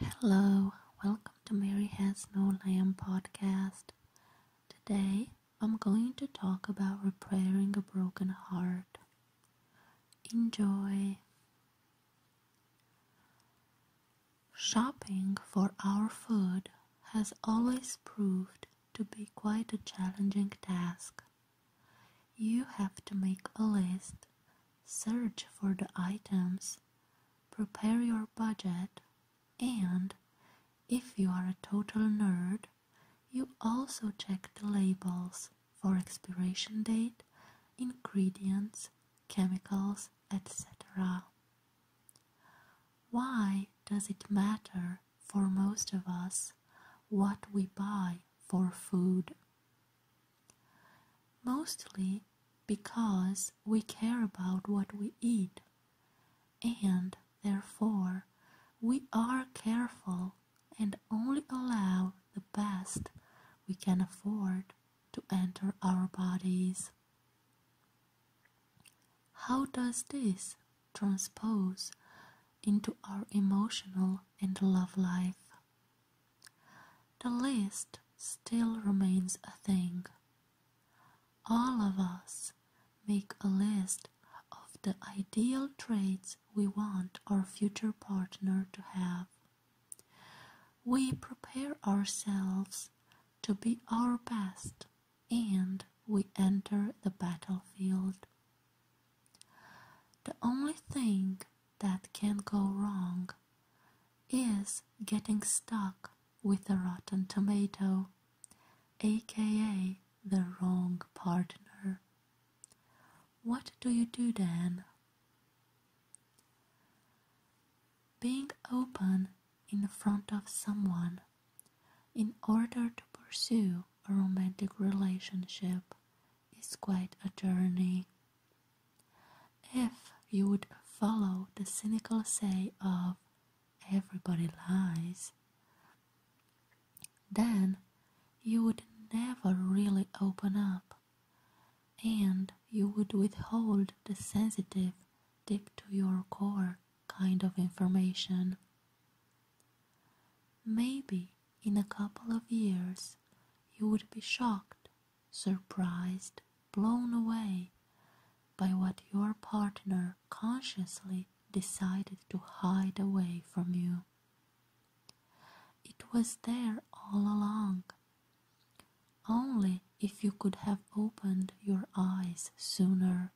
Hello, welcome to Mary Has No Lamb podcast. Today I'm going to talk about repairing a broken heart. Enjoy. Shopping for our food has always proved to be quite a challenging task. You have to make a list search for the items, prepare your budget, and if you are a total nerd, you also check the labels for expiration date, ingredients, chemicals, etc. Why does it matter for most of us what we buy for food? Mostly because we care about what we eat, and therefore we are careful and only allow the best we can afford to enter our bodies. How does this transpose into our emotional and love life? The list still remains a thing. All of us make a list of the ideal traits we want our future partner to have. We prepare ourselves to be our best and we enter the battlefield. The only thing that can go wrong is getting stuck with a rotten tomato, aka the wrong partner. What do you do then? Being open in front of someone in order to pursue a romantic relationship is quite a journey. If you would follow the cynical say of everybody lies, then you would never really open up and you would withhold the sensitive, deep to your core kind of information. Maybe in a couple of years you would be shocked, surprised, blown away by what your partner consciously decided to hide away from you. It was there all along. Only if you could have opened your eyes sooner.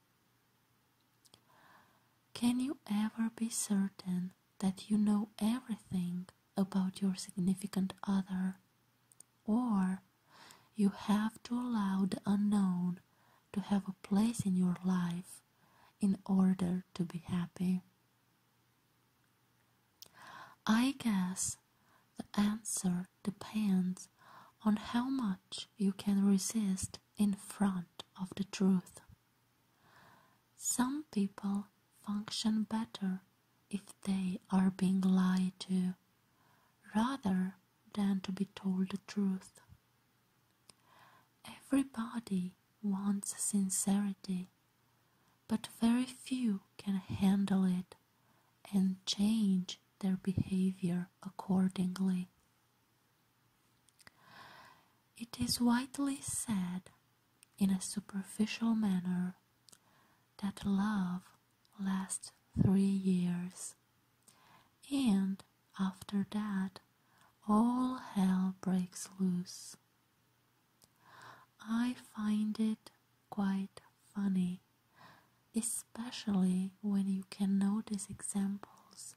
Can you ever be certain that you know everything about your significant other? Or you have to allow the unknown to have a place in your life in order to be happy? I guess the answer depends on how much you can resist in front of the truth. Some people function better if they are being lied to rather than to be told the truth. Everybody wants sincerity, but very few can handle it and change their behavior accordingly. It is widely said, in a superficial manner, that love lasts three years, and after that all hell breaks loose. I find it quite funny especially when you can notice examples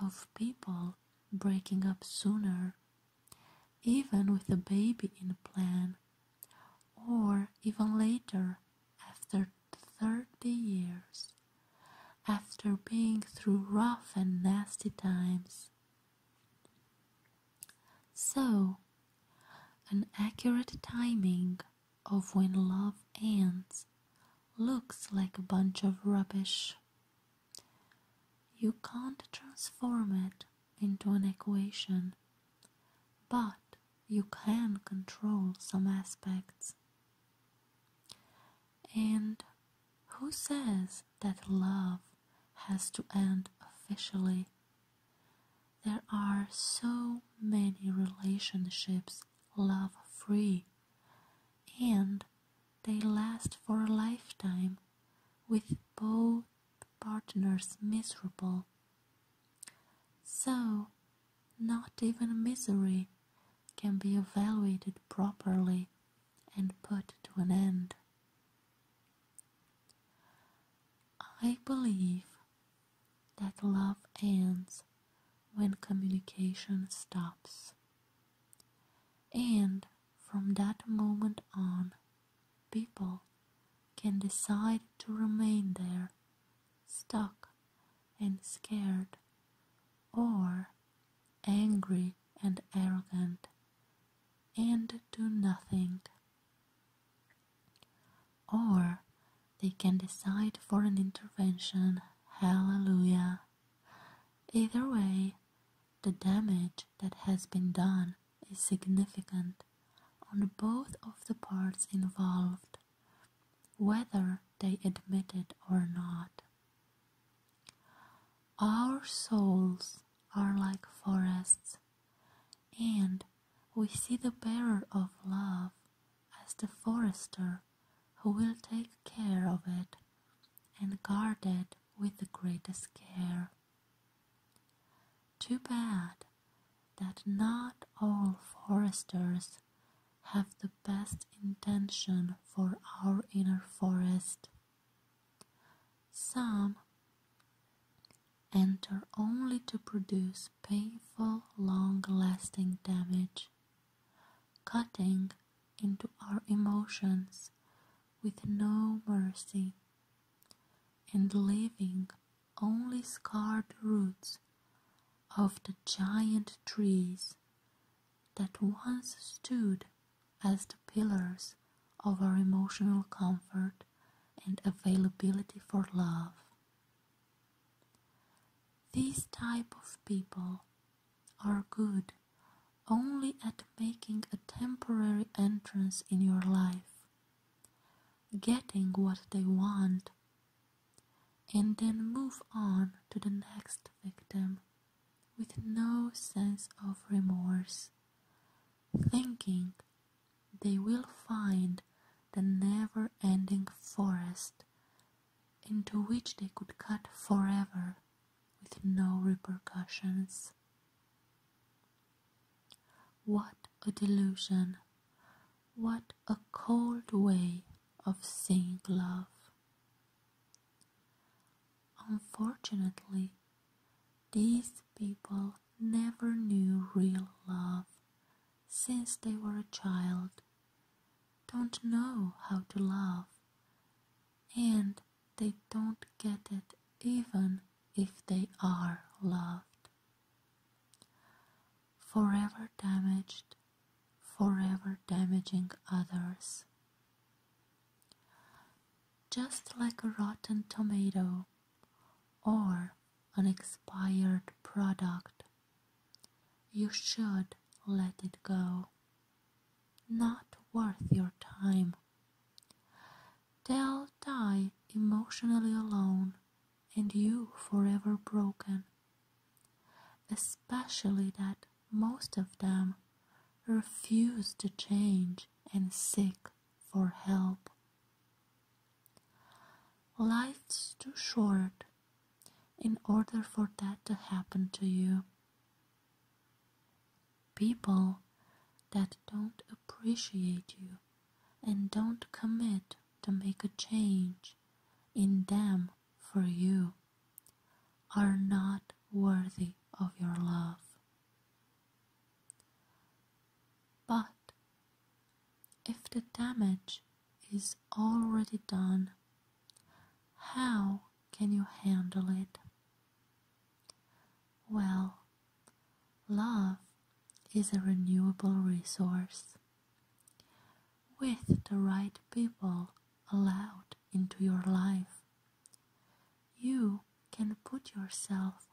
of people breaking up sooner, even with a baby in plan, or even later after 30 years, after being through rough and nasty times. So, an accurate timing of when love ends looks like a bunch of rubbish. You can't transform it into an equation, but you can control some aspects. And who says that love has to end officially there are so many relationships love free and they last for a lifetime with both partners miserable. So, not even misery can be evaluated properly and put to an end. I believe that love ends when communication stops. And from that moment on, people can decide to remain there, stuck and scared, or angry and arrogant, and do nothing. Or they can decide for an intervention, hallelujah. Either way, the damage that has been done is significant on both of the parts involved, whether they admit it or not. Our souls are like forests and we see the bearer of love as the forester who will take care of it and guard it with the greatest care. Too bad that not all foresters have the best intention for our inner forest. Some enter only to produce painful, long-lasting damage, cutting into our emotions with no mercy and leaving only scarred roots of the giant trees that once stood as the pillars of our emotional comfort and availability for love. These type of people are good only at making a temporary entrance in your life, getting what they want, and then move on to the next victim with no sense of remorse, thinking they will find the never ending forest into which they could cut forever with no repercussions. What a delusion! What a cold way of seeing love! Unfortunately, these people never knew real love since they were a child, don't know how to love, and they don't get it even if they are loved. Forever damaged, forever damaging others. Just like a rotten tomato or an expired product, you should let it go. Not worth your time. They'll die emotionally alone and you forever broken. Especially that most of them refuse to change and seek for help. Life's too short in order for that to happen to you. People that don't appreciate you and don't commit to make a change in them for you are not worthy of your love. But if the damage is already done, how can you handle it? Well, love is a renewable resource with the right people allowed into your life, you can put yourself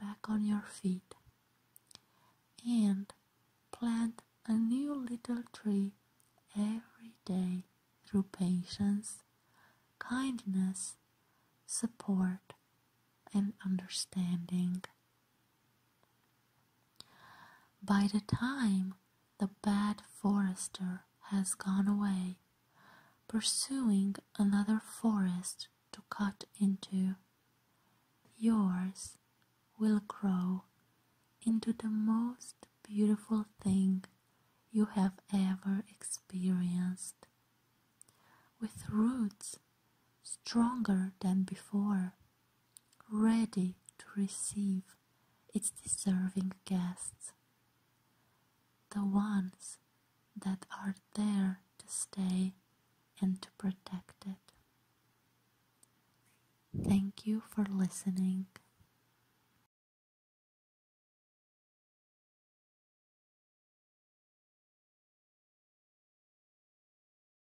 back on your feet and plant a new little tree every day through patience, kindness, support, and understanding. By the time the bad forester has gone away, pursuing another forest to cut into, yours will grow into the most beautiful thing you have ever experienced, with roots stronger than before ready to receive its deserving guests, the ones that are there to stay and to protect it. Thank you for listening.